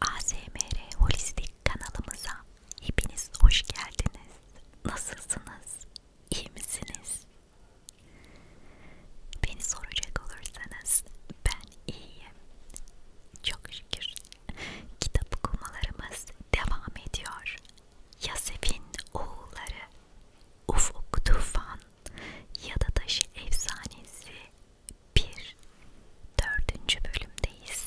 ASMR Holistik kanalımıza hepiniz hoş geldiniz. Nasılsınız? İyi misiniz? Beni soracak olursanız ben iyiyim. Çok şükür. Kitap okumalarımız devam ediyor. Yasefin oğulları Ufuk Tufan ya da taşı efsanesi 1 4. bölümdeyiz.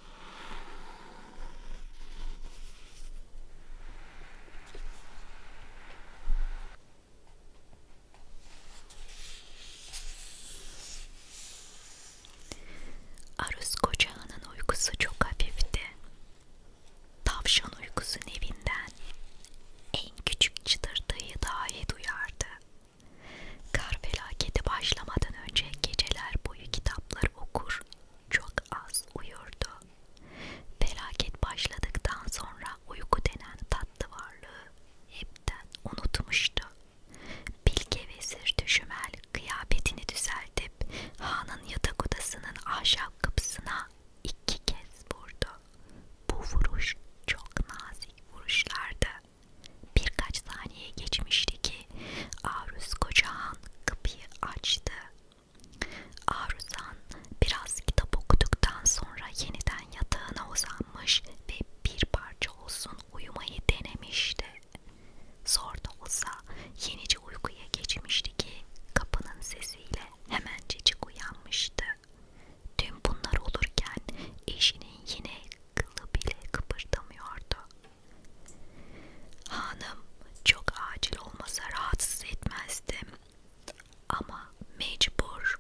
Aruz kocağının uykusu çok hafifti. Tavşan uykusunun evinden en küçük çıtırtıyı dahi duyardı. Kar felaketi başlamadan önce geceler boyu kitapları okur, çok az uyurdu. Felaket başladıktan sonra uyku denen tatlı varlığı hepten unutmuştu. Bilge vezir düşümel kıyafetini düzeltip hanın yatak odasının ahşap kapısına iki kez vurdu. Bu vuruş çok nazik vuruşlardı. Birkaç saniye geçmişti ki Arus Kocahan kapıyı açtı. Aruzan biraz kitap okuduktan sonra yeniden yatağına uzanmış ve bir parça olsun uyumayı denemişti. Zor da olsa yenice uykuya geçmişti ki kapının sesiyle hemencecik uyanmıştı. Tüm bunlar olurken eşinin yine kılı bile kıpırdamıyordu. Hanım çok acil olmasa rahatsız etmezdim ama mecbur.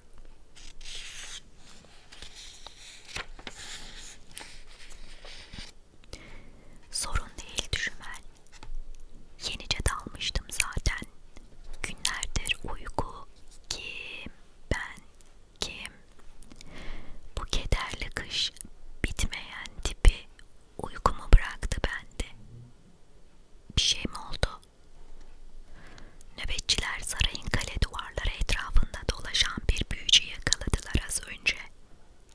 Sorun değil düşümel. Yenice dalmıştım zaten. Günlerdir uyku ki ben ki bu kederli kış bitmeyen tipi uykumu bıraktı bende. Bir şey mi oldu? Nöbetçiler sarayın kale duvarları etrafında dolaşan bir büyücü yakaladılar az önce.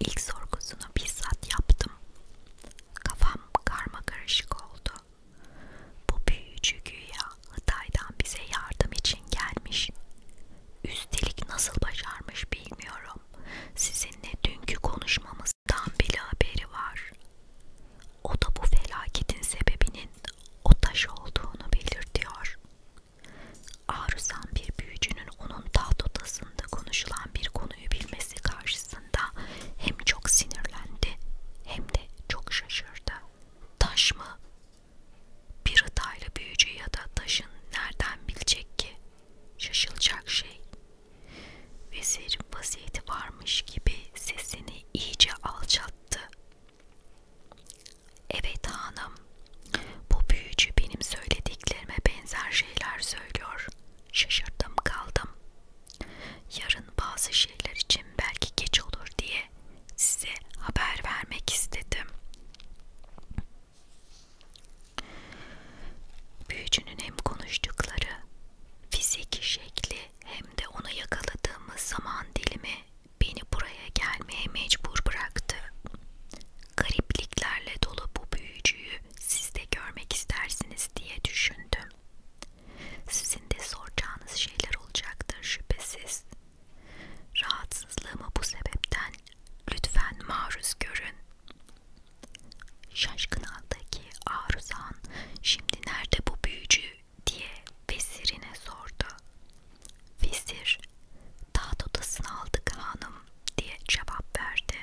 İlk sorgusunu bizzat yaptım. Kafam karma karışık oldu. Bu büyücü güya Hıtay'dan bize yardım için gelmiş. Üstelik nasıl başarmış bilmiyorum. Sizinle dünkü konuşmamızdan bile haberi var. O da bu felaketin sebebinin o taş olduğunu belirtiyor. Ağrısan bir büyücünün onun taht odasında konuşulan bir konuyu bilmesi karşısında hem çok sinirlendi hem de çok şaşırdı. Taş mı? Bir hıtayla büyücü ya da taşın nereden bilecek ki? Şaşılacak şey. Vezirin vaziyeti varmış gibi sesini iyice alçattı. Evet hanım, bu büyücü benim söylediklerime benzer şeyler söylüyor. Şaşırdım kaldım. Yarın bazı şeyler için belki geç olur diye size haber vermek istedim. Büyücünün hem konuştukları, fiziki şekli hem de onu yakaladığımız zaman dilimi beni buraya gelmeye mecbur bıraktı. Garipliklerle dolu bu büyücüyü siz de görmek istersiniz diye düşündüm. Sizin de soracağınız şeyler olacaktır şüphesiz. Rahatsızlığımı bu sebepten lütfen maruz görün. Şaşkın haldeki Aruzan şimdi nerede bu büyücü diye vezirine sordu. Vezir taht odasını aldık hanım diye cevap verdi.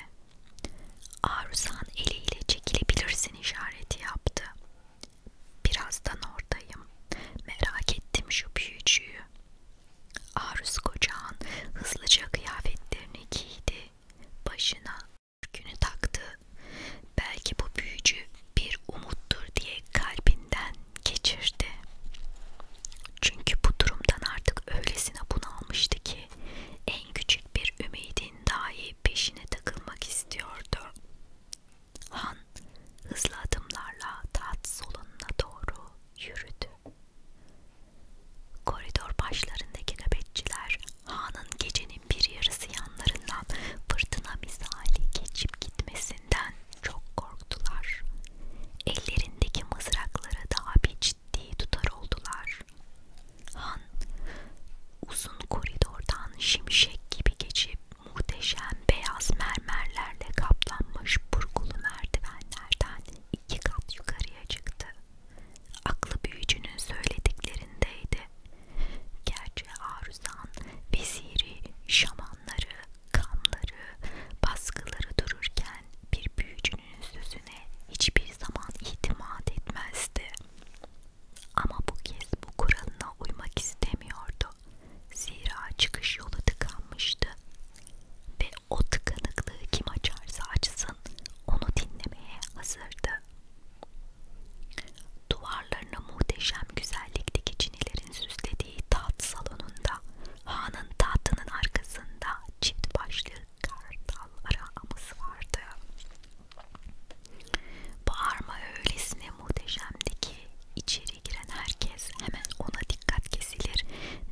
Aruzan eliyle çekilebilirsin işareti yaptı. Birazdan oradayım. Merak ettim şu büyücüyü. Aruz kocağın hızlıca kıyafetlerini giydi, başına ürkünü taktı. Belki bu büyücü bir umuttur diye kalbinden geçirdi. Çünkü bu durumdan artık öylesine bunalmıştı ki en küçük bir ümidin dahi peşine takılmak istiyordu. Han hızlı adımlarla taht solununa doğru yürüdü. Koridor başlarındaki nöbetçiler Han'ın gecenin bir yarısı yanlarından fırtına misali geçip gitmesinden çok korktular. Ellerindeki mızraklara daha bir ciddi tutar oldular. Han uzun koridordan şimşek gibi geçip muhteşem beyaz mermerlerle kaplanmış burgulu merdivenlerden iki kat yukarıya çıktı. Aklı büyücünün söylediklerindeydi. Gerçi Aruzan, veziri, şamanları, kamları, baskıları dururken bir büyücünün sözüne hiçbir zaman itimat etmezdi. Ama bu kez bu kuralına uymak istemiyordu. Zira çıkış yolu tıkanmıştı ve o tıkanıklığı kim açarsa açsın onu dinlemeye hazırdı. Duvarlarına muhteşem güzellikteki çinilerin süslediği taht salonunda, hanın tahtının arkasında çift başlı kartal aramız vardı. Bağırma öylesine muhteşemdi ki içeri içeri giren herkes hemen ona dikkat kesilir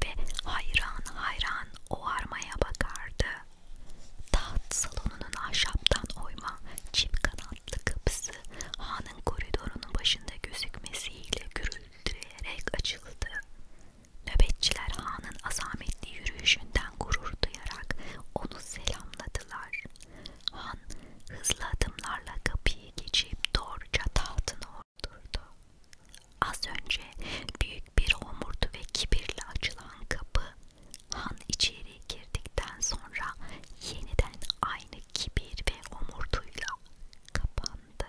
ve hayran hayran o armaya bakardı. Taht salonunun ahşaptan oyma çift kanatlı kapısı hanın koridorunun başında gözükmesiyle gürültüleyerek açıldı. Nöbetçiler hanın azametli yürüyüşünden gurur duyarak onu selamladılar. Han hızlı adımlarla kapıyı kapıyı geçip doğruca tahtına oturdu. Az önce büyük bir homurdu ve kibirle açılan kapı han içeri girdikten sonra yeniden aynı kibir ve homurduyla kapandı.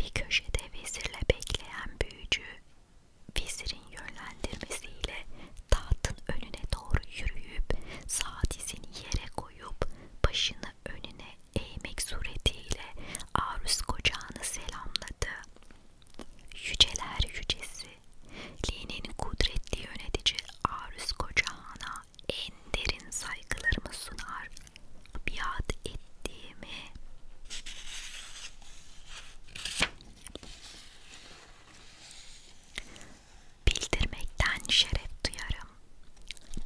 Bir köşede vezirle bekleyen büyücü vezirin yönlendirmesiyle tahtın önüne doğru yürüyüp sağ dizini yere koyup başını önüne eğmek suretiyle Arus kocağını selamladı. Yüceler yücesi, Line'nin kudretli yönetici Arus kocağına en derin saygılarımı sunar. Biat ettiğimi bildirmekten şeref duyarım.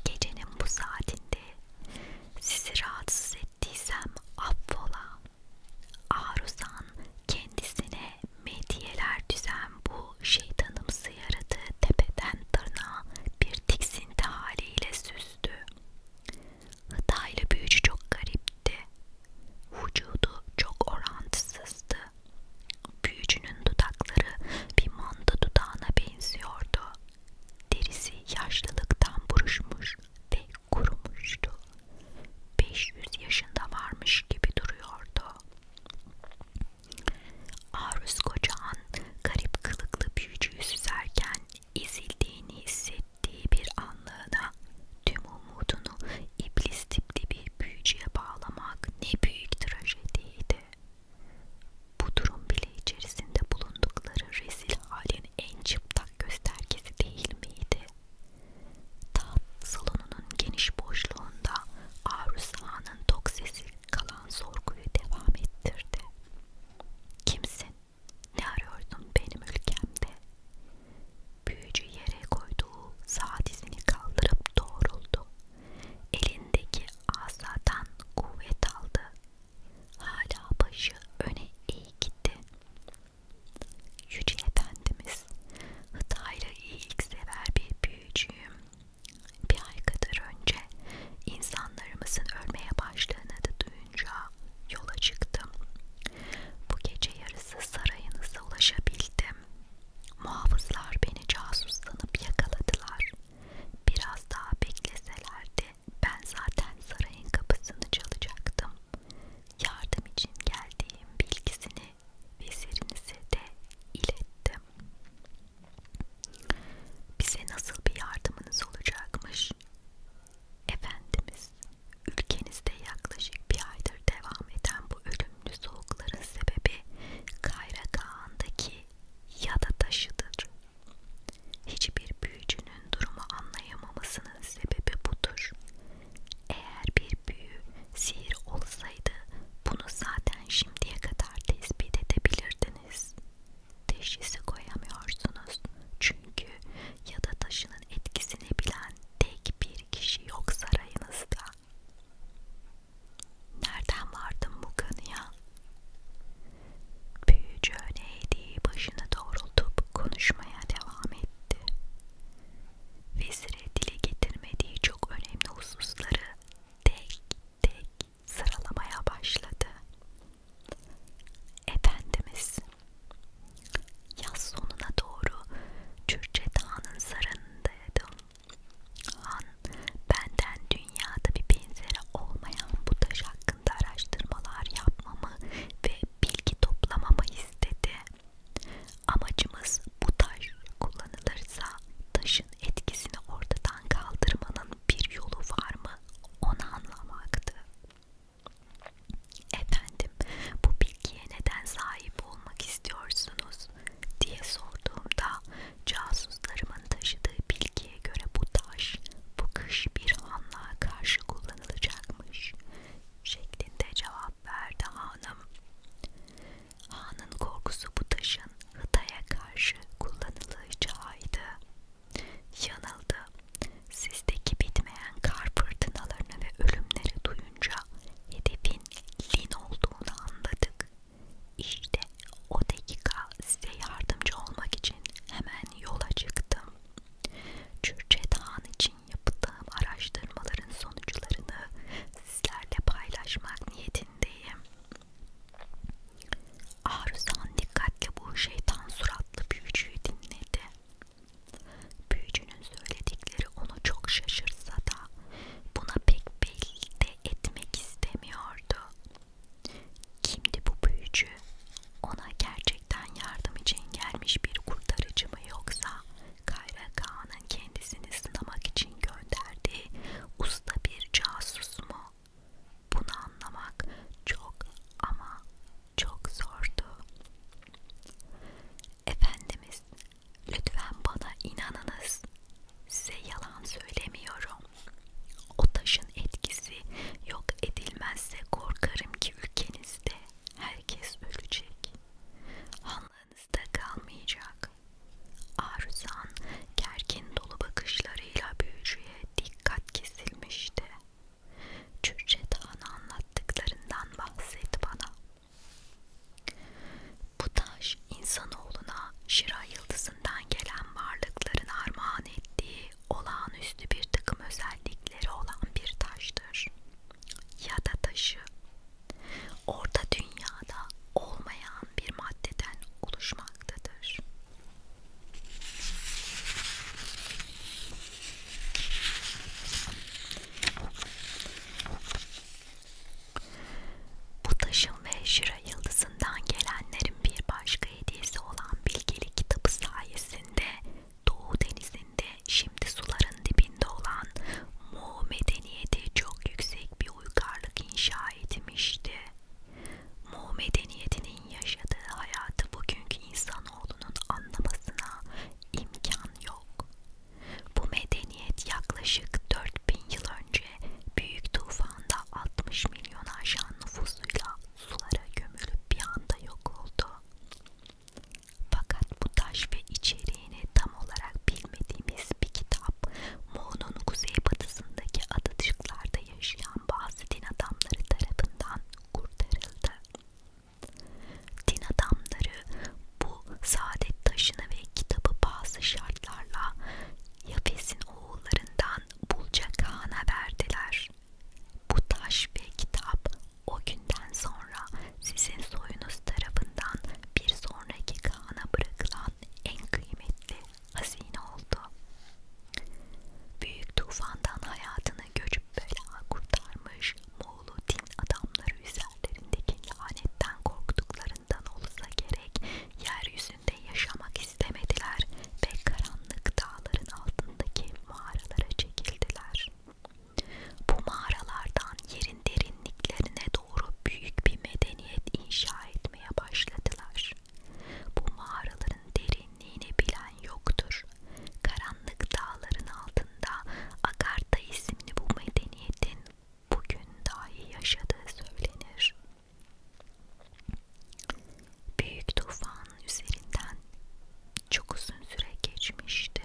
Gecenin bu saatinde sizi rahatsız ettiysem affola. Aruzan kendisine medyeler düzen bu şeytanımsı yaratığı tepeden tırnağa bir tiksinti haliyle süzdü. Hıtaylı büyücü çok garipti. Vücudu çok orantısızdı. Büyücünün dudakları bir manda dudağına benziyordu. Derisi yaşlılıktan buruşmuş ve kurumuştu. 500 yaşında varmış gibi duruyordu. Aruz Koca'nın garip kılıklı büyücüyü süzerken ezildiğini hissettiği bir anlığına tüm umudunu iblis tipli bir büyücüye bağlamak ne büyük trajediydi. Bu durum bile içerisinde bulundukları rezil halin en çıplak göstergesi değil miydi? Taht salonunun geniş boşluğunda Arusa'nın tok sesi kalan sorguyu devam ettirdi. Kimsin? Ne arıyordun benim ülkemde? Büyücü yere koyduğu sağ dizini kaldırıp doğruldu. Elindeki asadan kuvvet aldı. Hala başı öne eğik gitti. Yüce Efendimiz Hıdayrı iyiliksever bir büyücüyüm. Bir ay kadar önce insanlarımızın ölmeye başladığını da duyunca yola çıktım. Bu gece yarısı sarayınıza ulaşabildim. Muhafızlar beni casus sanıp yakaladılar. Biraz daha bekleselerdi ben zaten sarayın kapısını çalacaktım. Yardım için geldiğim bilgisini vezirinize de ilettim. Bize nasıl bir yardımınız olacakmış? Efendimiz, ülkenizde yaklaşık bir aydır devam eden bu ölüm ölümlü soğukların sebebi Kayra Dağı'ndaki yada taşıdır. Hiçbir büyücünün durumu anlayamamısının sebebi budur. Eğer bir büyü sihir olsaydı bunu zaten şimdiye kadar tespit edebilirdiniz. Teşhisi koyamıyorsunuz çünkü yada taşının etkisini bilen tek bir kişi yok sarayınızda. Nereden vardım bu kanıya? Büyücü neydi başını doğrultup konuşmaya devam etti. Vezire dile getirmediği çok önemli hususları tek tek sıralamaya başladı. Efendimiz, yaz sonuna doğru Cürce Dağı'nın sarındaydım. Han, benden dünyada bir benzeri olmayan bu taş hakkında araştırmalar yapmamı ve bilgi toplamamı istedi. Amacımız bu taş kullanılırsa taşın etkisini ortadan kaldırmanın bir yolu var mı onu anlamaktı. Efendim bu bilgiye neden sahip olmak istiyorsunuz? diye sorduğumda casuslarımın taşıdığı bilgiye göre bu taş bu kış bir hanlığa karşı kullanılacakmış şeklinde cevap verdi hanım. Hanın korkusu bu taşın Hıtaya karşı kullanılacağıydı. Yanıldı. Sizdeki bitmeyen kar fırtınalarını ve ölümleri duyuyorum boyunca hedefin Lin olduğunu anladık. İşte o dakika size yardımcı olmak için hemen yola çıktım. Çürçe Dağın için yaptığım araştırmaların sonuçlarını sizlerle paylaşmak niyetindeyim. Aruzan dikkatle bu şeytan suratlı büyücüyü dinledi. Büyücünün söyledikleri onu çok şaşırsa da buna pek belli de etmek istemiyordu. Kimdi bu büyücü? Ona gerçekten yardım için gelmiş bir kurtarıcı mı yoksa Kayra Kağan'ın kendisini sınamak için gönderdiği usta bir casus mu? Bunu anlamak çok ama çok zordu. Efendimiz lütfen bana inanınız size yalan söylemiyorum o taşın etkisi yok edilmezse korkarım ki ülkenizde herkes ölecek hanlığınızda kalmayacak Arzan gergin dolu bakışlarıyla büyücüye dikkat kesilmişti Cürcet Han'a anlattıklarından bahset bana bu taş insanoğluna Şira yıldızından gelen varlıkların armağan ettiği olağanüstü bir takım özellikleri olan bir taştır. Ya da taşı. Orta dünyada olmayan bir maddeden oluşmaktadır. Bu taşın ve Şira yıldızından gelenlerin bir başka hediyesi olan bilgelik kitabı sayesinde Doğu denizinde şimdi suların dibinde olan Mu medeniyeti çok yüksek bir uygarlık inşa etmişti. Mu medeniyetinin yaşadığı hayatı bugünkü insanoğlunun anlamasına imkan yok. Bu medeniyet yaklaşık 4000 yıl önce büyük tufanda 60 milyon aşan nüfusuyla sulara gömülüp bir anda yok oldu. Fakat bu taş ve içeriğini tam olarak bilmediğimiz bir kitap, Moğol'un kuzeybatısındaki adacıklarda yaşayan bazı din adamları tarafından kurtarıldı. Din adamları bu saadet taşını ve kitabı bazı şartlarla Yafes'in oğullarından Bulcak Han'a verdiler. Bu taş ve kitap o günden sonra sizin soyunuz tarafından bir sonraki Kaan'a bırakılan en kıymetli hazine oldu. Büyük tufandan hayatını görüp bela kurtarmış Moğol çoğulu din adamları üzerlerindeki lanetten korktuklarından olsa gerek yeryüzünde yaşamak istemediler ve karanlık dağların altındaki mağaralara çekildiler. Bu mağaralardan yerin derinliklerine doğru büyük bir medeniyet inşa etmeye başladılar. Bu mağaraların derinliğini bilen yoktur. Karanlık dağların altında hakkında Agartha isimli bu medeniyetin bugün dahi yaşadığı söylenir. Büyük tufan üzerinden çok uzun süre geçmişti.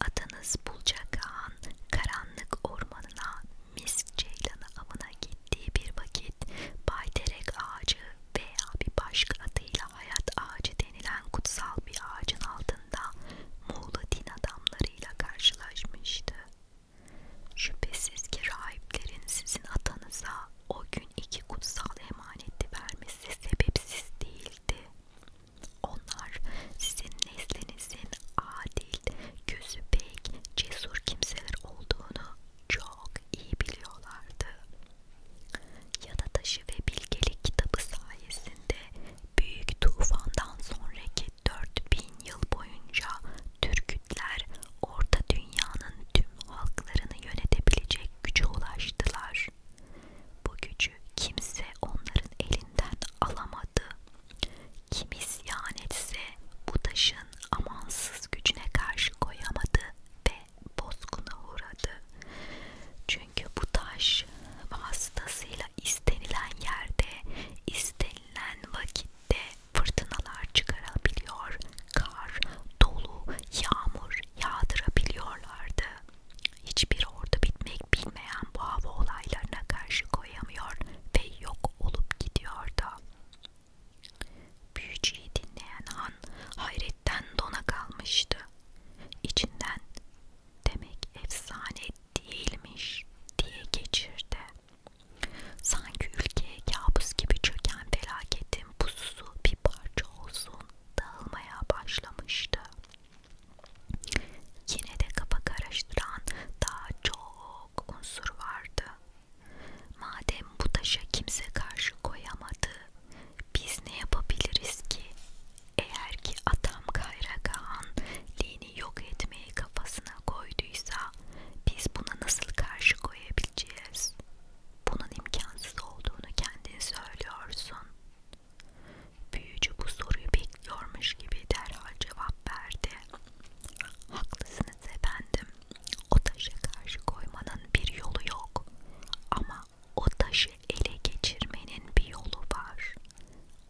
Atanız Bulcak Ağa'nın karanlık ormanına misk ceylanı avına gittiği bir vakit Bayderek ağacı veya bir başka adıyla adıyla hayat ağacı denilen kutsal bir ağacın altında Muğla din adamlarıyla karşılaşmıştı. Şüphesiz ki rahiplerin sizin atanıza o gün iki kutsal emaneti vermesi sebepsiz değildi. Onlar sizin neslinizin adil, gözü pek, cesur kimseler olduğunu çok iyi biliyorlardı. Yana Taşı ve Bilgelik kitabı sayesinde Büyük Tufan'dan sonraki 4000 yıl boyunca Türkütler Orta Dünya'nın tüm halklarını yönetebilecek güce ulaştılar. Bu gücü kimse onların elinden alamadı. Kim isyan etse bu taşın amansız gücüne karşı koyamadı ve bozguna uğradı. Çünkü çünkü bu taş vasıtasıyla istenilen yerde, istenilen vakitte fırtınalar çıkarabiliyor, kar, dolu, yağmur yağdırabiliyorlardı. Hiçbir ordu bitmek bilmeyen bu hava olaylarına karşı koyamıyor ve yok olup gidiyordu. Büyücüyü dinleyen Han hayretten dona kalmıştı. İçinden demek efsane değilmiş diye geçirdi. Sanki ülkeye kabus gibi çöken felaketin pususu bir parça olsun dağılmaya başlamıştı. Yine de kafa karıştıran daha çok unsur vardı. Madem bu taşa kimse karşı koyamadı, biz ne yapabiliriz ki eğer ki adam Kayragağ'ın lini yok etmeyi kafasına koyduysa biz buna nasıl karşı koyabileceğiz? Bunun imkansız olduğunu kendin söylüyorsun. Büyücü bu soruyu bekliyormuş gibi derhal cevap verdi. Haklısınız efendim. O taşa karşı koymanın bir yolu yok. Ama o taşı ele geçirmenin bir yolu var.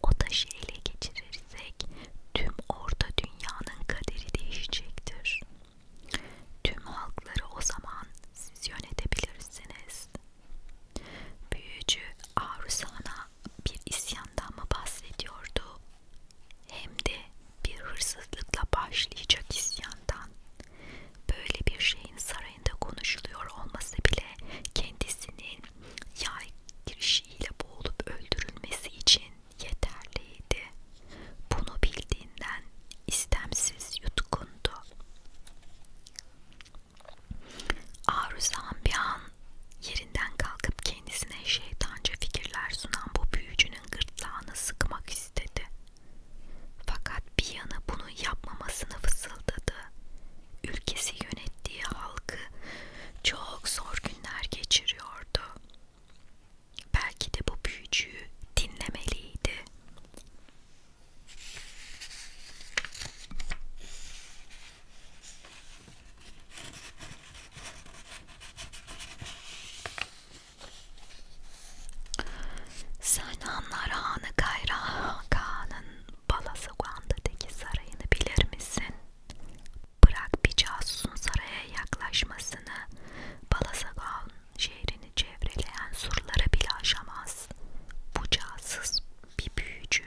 O taşı ele geçirirsek tüm orta dünyanın kaderi değişecektir. Tüm halkları o zaman siz yönetebilirsiniz. Büyücü Aruzan'a bir isyandan mı bahsediyordu? Hem de bir hırsızlıkla başlayacak isyandan. Böyle bir şeyin sarayında konuşuluyor olması bile kendisinin yay girişiyle boğulup öldürülmesi için yeterliydi. Bunu bildiğinden istemsiz yutkundu. Aruzan bir an yerinden kalkıp kendisine şeytanca fikirler sunan bu büyücünün gırtlağını sıkmak istedi. Fakat bir yana bunu yapmamasını fısıldadı. Ülkesi yönettiği halkı çok zor günler geçiriyordu. Belki de bu büyücüyü dinlemeliydi. Senanlar Hanı Kayra Hakan'ın Balasugan'daki sarayını bilir misin? Bırak bir casusun saraya yaklaşmasını, Balasagan şehrini çevreleyen surlara bile aşamaz. Bu casus bir büyücü,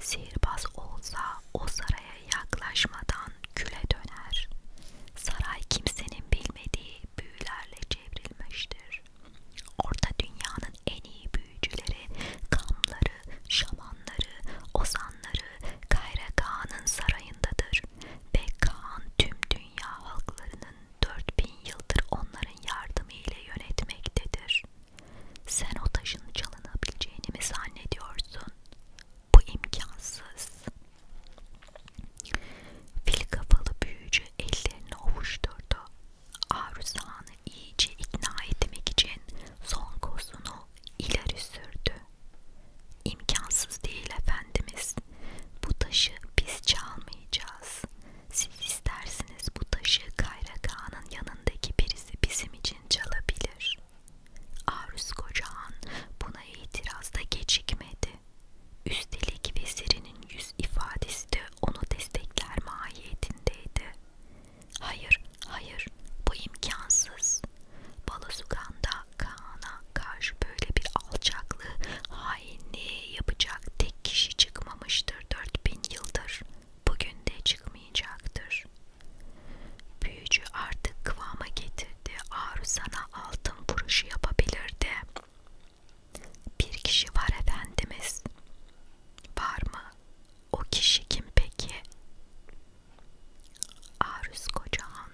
sihirbaz olsa o saraya yaklaşmadan küle döner. Saray kimsenin bilmediği büyülerle çevrilmiştir görülür. Orta dünyanın en iyi büyücüleri, kamları, şamanları, ozanları Kayra Kağan'ın sarayındadır ve Kağan tüm dünya halklarının 4000 yıldır onların yardımı ile yönetmektedir. Sen o taşın çalınabileceğini mi zannediyorsun? Bu imkansız. Fil kafalı büyücü ellerini ovuşturdu. Aruzan'ı iyice ikna etmek için son kozunu ileri sürdü. İmkansız değil efendimiz. Bu taşı biz çalmayacağız. Siz isterseniz bu taşı Kayraka'nın yanındaki birisi bizim için çalabilir. Aruz Kocağan buna itirazda gecikmedi. Üstelik vezirinin yüz ifadesi de onu destekler mahiyetindeydi. Hayır, hayır, bu imkansız. Balasugan'da Kaan'a karşı böyle bir alçaklığı, hainliği yapacak tek kişi çıkmamıştır 4000 yıldır. Bugün de çıkmayacaktır. Büyücü artık kıvama getirdi. Aru sana altın vuruşu yapabilirdi. Bir kişi var efendimiz. Var mı? O kişi kim peki? Aruz Kocahan,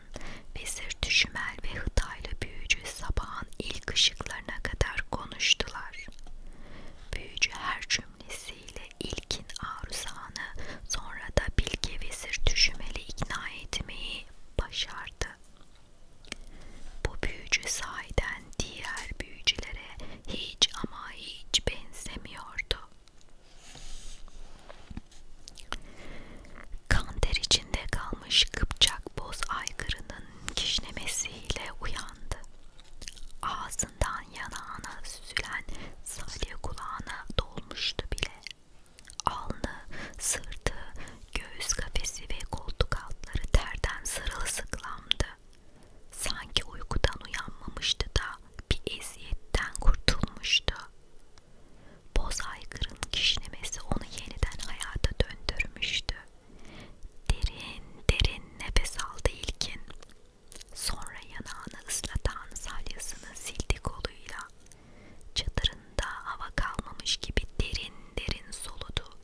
Vezir Düşümel ve Hıtaylı büyücü sabahın ilk ışıklarına kadar konuştular. Büyücü her cümlesiyle ilkin Aruz Han'ı, sonra da Bilge Vezir Düşümel'i ikna etmeyi başardı. Bu büyücü sahiden diğer büyücülere hiç ama hiç benzemiyordu. Kanter içinde kalmış kıpçak boz aygırının kişnemesiyle uyandı. Ağzından yanağına süzülen salya kulağına dolmuştu bile. Alnı, sırtı, Göğüs kafesi ve koltuk altları terden sarılsıklamdı. Sanki uykudan uyanmamıştı da bir eziyetten kurtulmuştu. Boz aygırın kişnemesi onu yeniden hayata döndürmüştü. Derin derin nefes aldı ilkin. Sonra yanağını ıslatan salyasını sildi koluyla. Çadırın Ağzında hava kalmamış gibi derin derin soludu.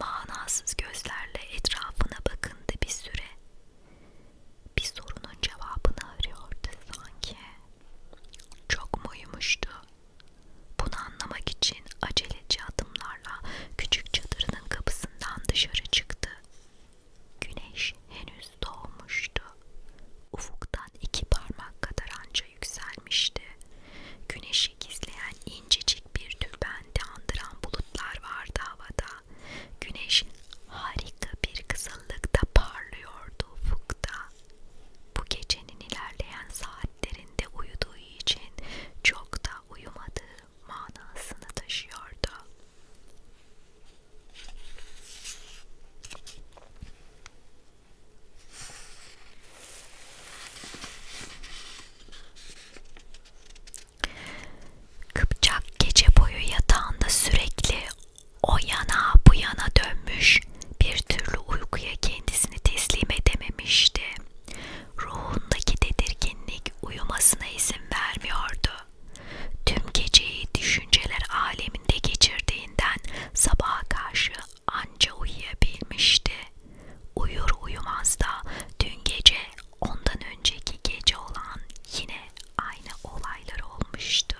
Manasız gözlerle etrafına bakındı bir süre. Bir sorunun cevabını arıyordu sanki. Çok mu uyumuştu? Bunu anlamak için aceleci adımlarla küçük çadırının kapısından dışarı çıktı. Güneş henüz doğmuştu. Ufuktan iki parmak kadar anca yükselmişti. Güneşin ışık gizleyen incecik bir tülbenti andıran bulutlar vardı havada. Güneş harika bir kızıllıkta parlıyordu ufukta. Bu gecenin ilerleyen saatlerinde uyuduğu için çok da uyumadığı manasını taşıyordu. Kıpçak gece boyu yatağında sürekli o yana bu yana dönmüş, bir türlü uykuya kendisini teslim edememişti. Ruhundaki tedirginlik uyumasına izin vermiyordu. Tüm geceyi düşünceler aleminde geçirdiğinden sabaha karşı anca uyuyabilmişti. Uyur uyumaz da dün gece ondan önceki gece olan yine aynı olaylar olmuştu.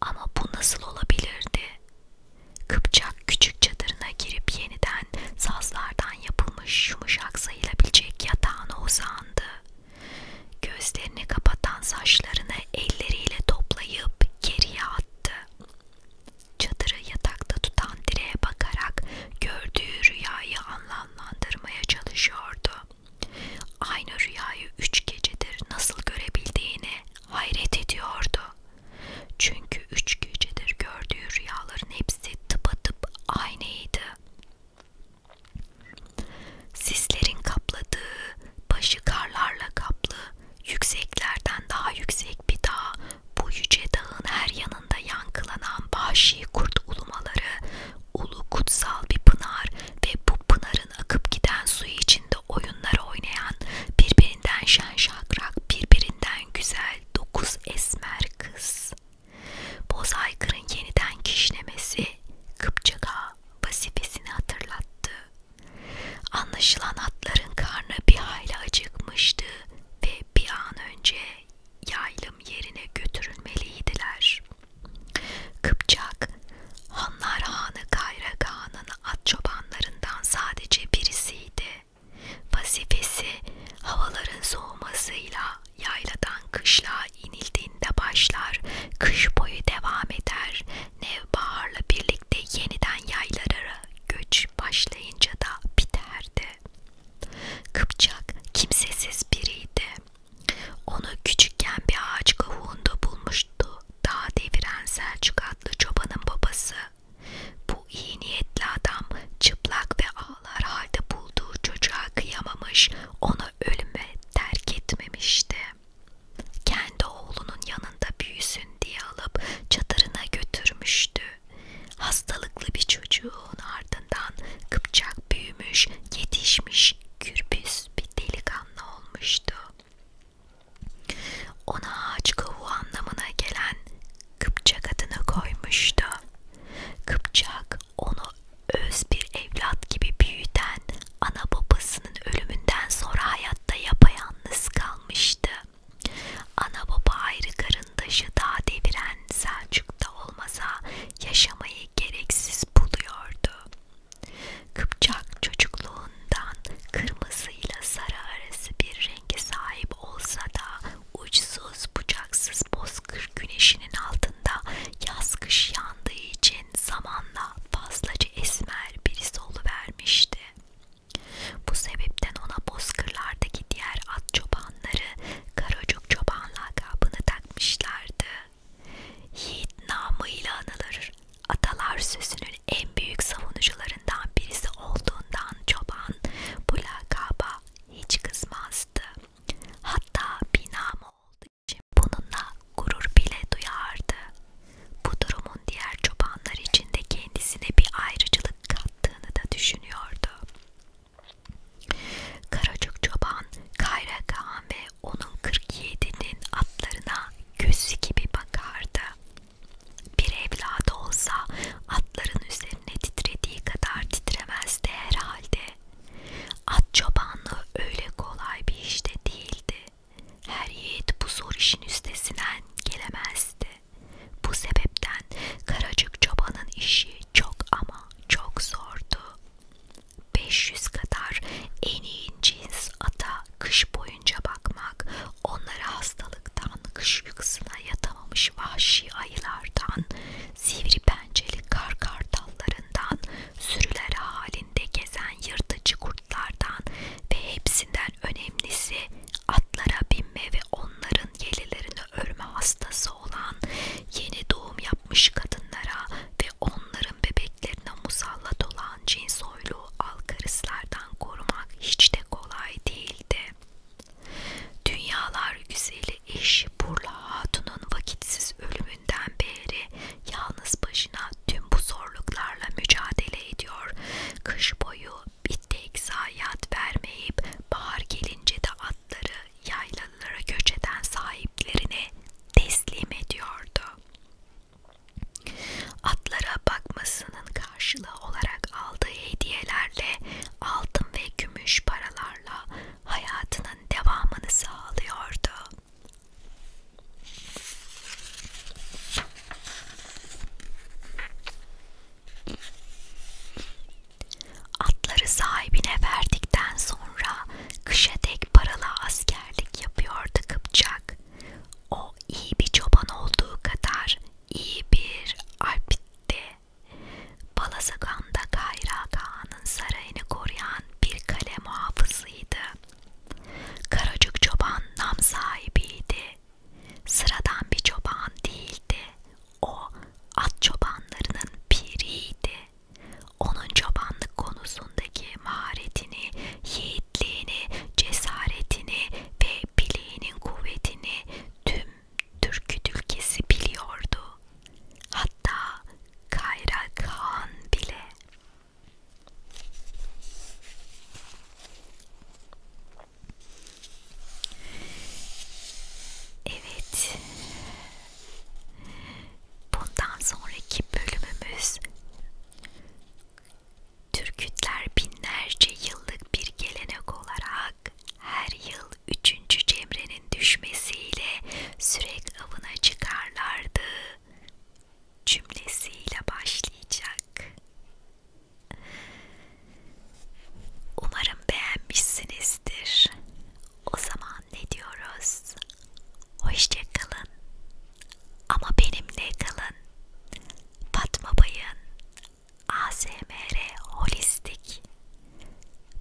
Ama bu nasıl olabilirdi? Kıpçak küçük çadırına girip yeniden sazlardan yapılmış yumuşak sayılabilecek yatağına uzandı. Gözlerini kapatan saçlarını elleriyle toplayıp geriye attı. Çadırı yatakta tutan direğe bakarak gördüğü rüyayı anlamlandırmaya çalışıyordu. Aynı rüyayı üç gecedir nasıl görebildiğini hayret ediyordu. Çünkü üç gecedir gördüğü rüyaların hepsi tıpatıp aynıydı. Sislerin kapladığı, başı karlarla kaplı, Yükseklerden daha yüksek bir dağ, bu yüce dağın her yanında yankılanan vahşi kurt ulumaları, ulu kutsal bir pınar ve bu pınarın akıp giden suyu içinde oyunlar oynayan, birbirinden şen şakrak, birbirinden güzel dokuz esmer kız. Boz aykırın yeniden kişnemesi Kıpçaka vazifesini hatırlattı. Anlaşılan atların karnı bir hayli acıkmıştı ve bir an önce yaylım yerine götürülmeliydiler. Kıpçak, Hanlar Hanı Kayrak Han'ın at çobanlarından sadece birisiydi. Vazifesi havaların soğumasıyla yayladan kışla inildiğinde başlar, kış boyu devam eder Nevbahar'la birlikte yeniden yaylara göç başlayınca da biterdi. Kıpçak kimsesiz biriydi. Onu küçükken bir ağaç kavuğunda bulmuştu. Dağ deviren Selçuk adlı çobanın babası. Bu iyi niyetli adam çıplak ve ağlar halde bulduğu çocuğa kıyamamış, ona ölüme terk etmemişti. Kendi oğlunun yanında büyüsün diye alıp çadırına götürmüştü. Hastalıklı bir çocuğun ardından kıpçak büyümüş, yetişmiş, kürbüz bir delikanlı olmuştu. Ona ağaç kavuğu anlamına gelen Kıpçak adını koymuştu. Kıpçak onu öz bir evlat gibi büyüten, ana babasının ölümünden sonra hayatta yapayalnız kalmıştı. Ana baba ayrı karındaşı daha deviren Selçuk'ta olmasa yaşamayı gereksiz buluyordu. Kıpçak çocukluğundan kırmızıyla sarı arası bir renge sahip olsa da uçsuz bucaksız bozkır güneşinin altında yaz kış yandığı için zamanla fazlaca esmer birisi oluvermişti. Bu sebepten ona bozkırlardaki diğer at çobanları Karacuk çoban lakabını takmışlardı. Yiğit namıyla anılır. Atalar sözünün en büyük savunucularından birisi olduğundan çoban bu lakaba hiç kızmazdı. Hatta binam olduğu için bununla gurur bile duyardı. Bu durumun diğer çobanlar için de kendisine bir ayrıcılık kattığını da düşünüyordu. Karacık çoban, Kayrakan ve onun 47'nin atlarına gözü gibi bakardı. Bir evladı olsa atların üzerine titrediği kadar titremezdi herhalde. At çobanlığı öyle kolay bir işte değildi. Her yiğit bu zor işin üstesinden gelemezdi. Bu sebepten Karacık çobanın işi çok ama çok zordu. 500 kadar en iyi cins ata kış boyunca bakmak, onlara hastalıktan, kış uykusuna yatamamış vahşi ayılardan, sivri pençeli kar kartallarından, sürüler halinde evinde gezen yırtıcı kurtlardan ve hepsinden önemlisi atlara binme ve onların yelilerini ölme hastası olan yeni doğum yapmış kadınlara ve onların bebeklerine musallat olan cin soylu alkarıslardan korumak hiç de kolay değildi. Dünyalar güzeli eşi Burla Hatun'un vakitsiz ölümünden beri Yalnız başına tüm bu zorluklarla mücadele ediyor. Kış boyu bir tek zayiat vermeyip bahar gelince de atları yaylalara göç eden sahiplerine teslim ediyordu. Atlara bakmasının karşılığı olarak aldığı hediyelerle altın ve gümüş paralarla hayatının devamını sağlıyordu. Atları sahibine verdikten sonra kışa dek paralı askerlik yapıyordu Kıpçak. O iyi bir çoban olduğu kadar iyi bir alpti. Balasagan'da Kayra Kağan'ın sarayını koruyan bir kale muhafızıydı. Karacık çoban nam sahibiydi. Sıradan bir çoban değildi. O at çobanlarının piriydi. Onun çobanlık konusundaki maharetini, yiğitliğini, cesaretini ve bileğinin kuvvetini tüm Türkü ülkesi biliyordu. Hatta Kayrak Han bile. Evet. Bundan sonraki bölümümüz Türkütler binlerce yıllık bir gelenek olarak her yıl üçüncü Cemre'nin düşmesiyle sürek avına çıkarlardı cümlesiyle başlayacak. Umarım beğenmişsinizdir. O zaman ne diyoruz? Hoşça kalın. Ama benimle kalın. Fatma Bay'ın ASMR Holistik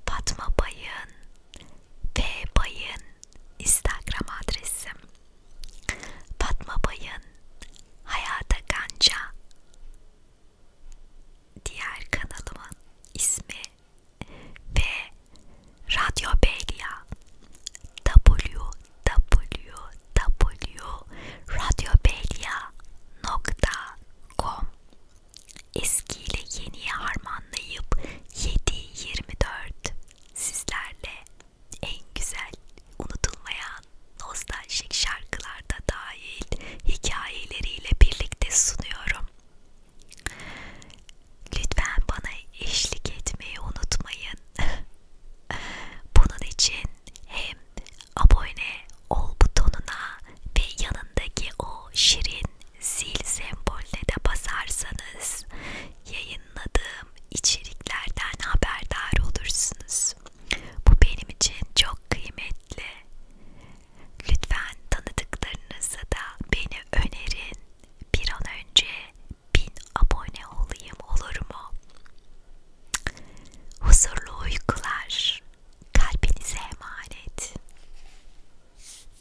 Fatma Bay'ın ve Bay'ın Instagram adresi Fatma Bay'ın Hayata Ganca diğer kanalımın ismi ve Radyo Beylia www.radyobeylia.com Eskiyle yeniye harmanlayıp 7-24 sizlerle en güzel unutulmayan nostaljik şarkılarda dahil hikayeleriyle birlikte sunuyorum. Lütfen bana eşlik etmeyi unutmayın. Bunun için hem abone ol butonuna ve yanındaki o şirin zil sembolüne de basarsanız yayınladığım içeriklerden haberdar olursunuz. Bu benim için çok kıymetli. Lütfen tanıdıklarınıza da beni önerin. Bir an önce bin abone olayım olur mu? Huzurlu uykular. Kalbinize emanet.